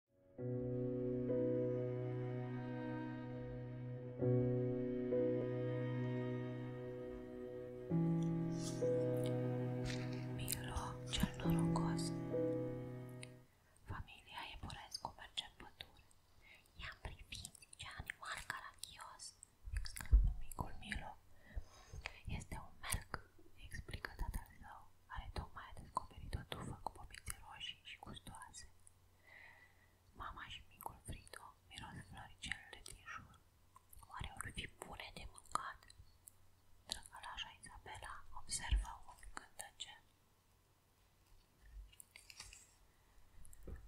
Milo cel norocos Familia Iepulescu merge în pădure. I-am privit, ce animal caragios! exclamă micul Milo. Este un melc, explică tatăl său care tocmai a descoperit o tufă cu pomițe roșii și gustoase. Mama și micul Frido miros floricelele din jur. Oare or fi bune de mâncat? Drăgălașa Isabela observă un cântăce.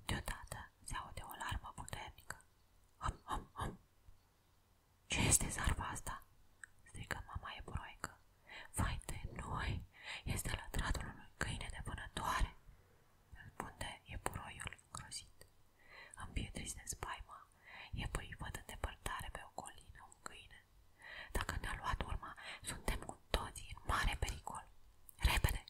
Deodată se aude o larmă puternică. Hum, hum, hum! Ce este zarva asta?" strigă mama eburoică. Vai de noi! Este lătratul unui câine de vânătoare!" răspunde eburoiul îngrozit. Împietris de spaima, eburii văd în depărtare pe o colină un câine. Dacă ne-a luat urma, suntem cu toții în mare pericol. Repede!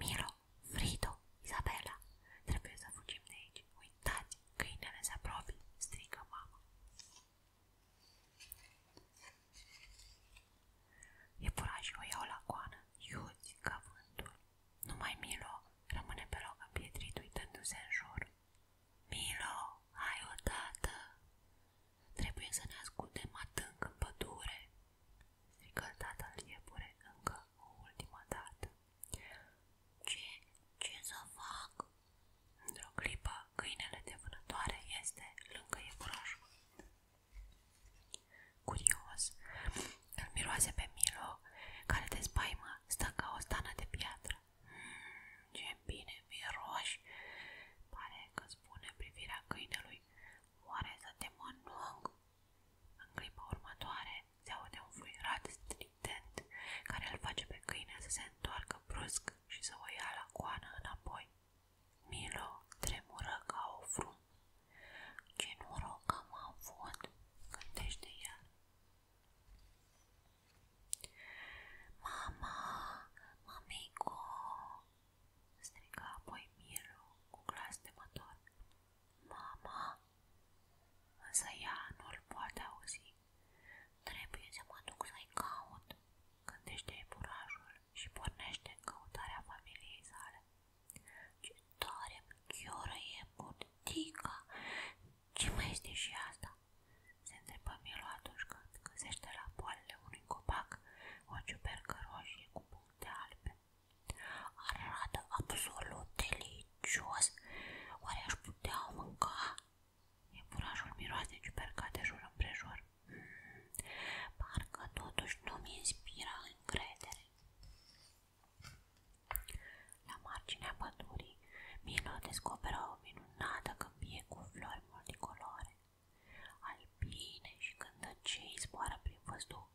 Milo! Frido! Isabela! Trebuie să fugim de aici! Uitați! Câinele se apropie, strigă mama. Iepurașii o iau la coană, iuți ca vântul. Numai Milo rămâne pe loc împietrit uitându-se în jur. Milo, hai odată! Trebuie să ne ascundem adânc în pădure, strigă tatăl iepure încă o ultimă dată. Ce, ce să fac? Într-o clipă, câinele de vânătoare este lângă iepurașul. Curios, îl miroase pe Milo, care de spaimă stă ca o stană de piatră. Mm, ce bine miroși, pare că spune privirea câinelui. Oare să te mănânc? În clipa următoare, se aude un fluierat strident care îl face pe câine să se întoarcă brusc și să o ia la coană înapoi. Milo tremură ca o frum. Ce noroc am avut, gândește el. Mama, mamico, striga apoi Milo cu glas temător. Mama, Însă ea nu-l poate auzi. Trebuie să mă duc să-i caut, gândește iepurașul și pornește în căutarea familiei sale. Ce tare chioră e burtica! Ce mai este și asta? Se întrebă Milu atunci când găsește la poalele unui copac o ciupercă roșie cu puncte albe. Arată absolut delicios. Oare aș putea mânca? Iepurașul miroase ciuperca de jur împrejur. Mm, parcă totuși nu mi inspira încredere. La marginea pădurii, Milo descoperă o minunată câmpie cu flori multicolore. Albine și cântăcei zboară prin văzduh.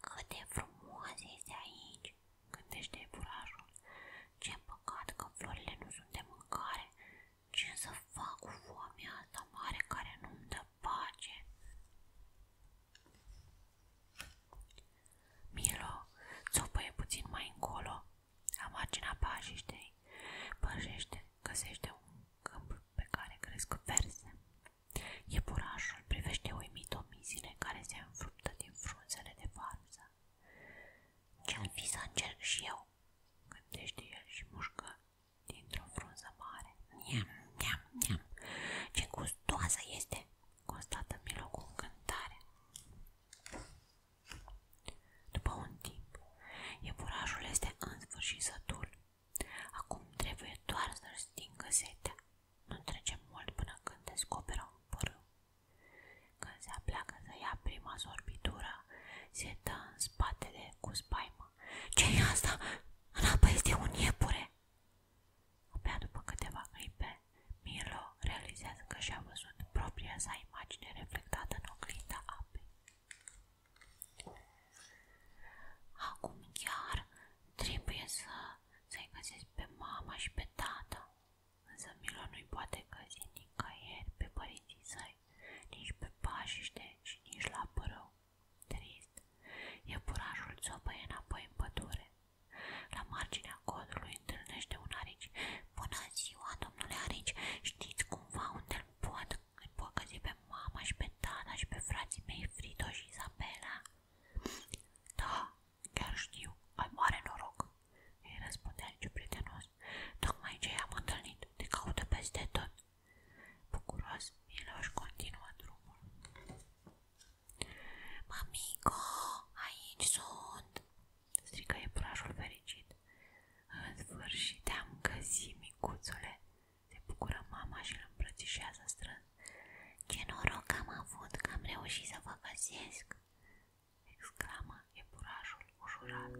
Cât de frumos este aici, gândește iepurașul. Ce păcat că florile nu sunt de mâncare. Ce să fac cu foamea asta mare care nu-mi dă pace? Milo, țopăie puțin mai încolo, la marginea pajiștei, păjește, găsește un câmp pe care cresc verse. Iepurașul privește uimit omizile care se înfruptă din frunzele de varză. Ce-am fi să încerc și eu? Gândește el și mușcă dintr-o frunză mare. Niam, niam, niam, ce gustoasă este, constată Milo cu încântare. După un timp, iepurașul este în sfârșit sătul Acum trebuie doar să-și stingă setea. Nu trece mult până când descoperă un pârâu. Când se apleacă să ia prima sorbitură, se dă în spatele cu spaimă. ce e asta? În apă este un iepure! Abia după câteva clipe, Milo realizează că și-a văzut propria sa imagine reflectată în oglinda apei. Acum chiar trebuie să, să-i găsesc pe mama și pe tata, însă Milo nu-i poate găsi nicăieri pe părinții săi, nici pe pașiște și nici la părău. Trist, iepurașul țopăie înapoi în pădure. La marginea codului întâlnește un arici. Bună ziua, domnule arici, știți cumva unde îl pot îmi pocăzi pe mama și pe tata și pe frații mei Frito și Isabela. Da, chiar știu, ai mare noroc, îi răspundea Ligiu prietenos. Tocmai ce i-am întâlnit, te caută peste tot. Bucuros, Miloș continuă drumul. Mamico, aici sunt, strică iepurașul fericit. În sfârșit am găsit, micuțule, se bucură mama și îl îmbrățișează strâns. Ce noroc am avut că am reușit să vă găsesc! exclamă iepurașul ușurat.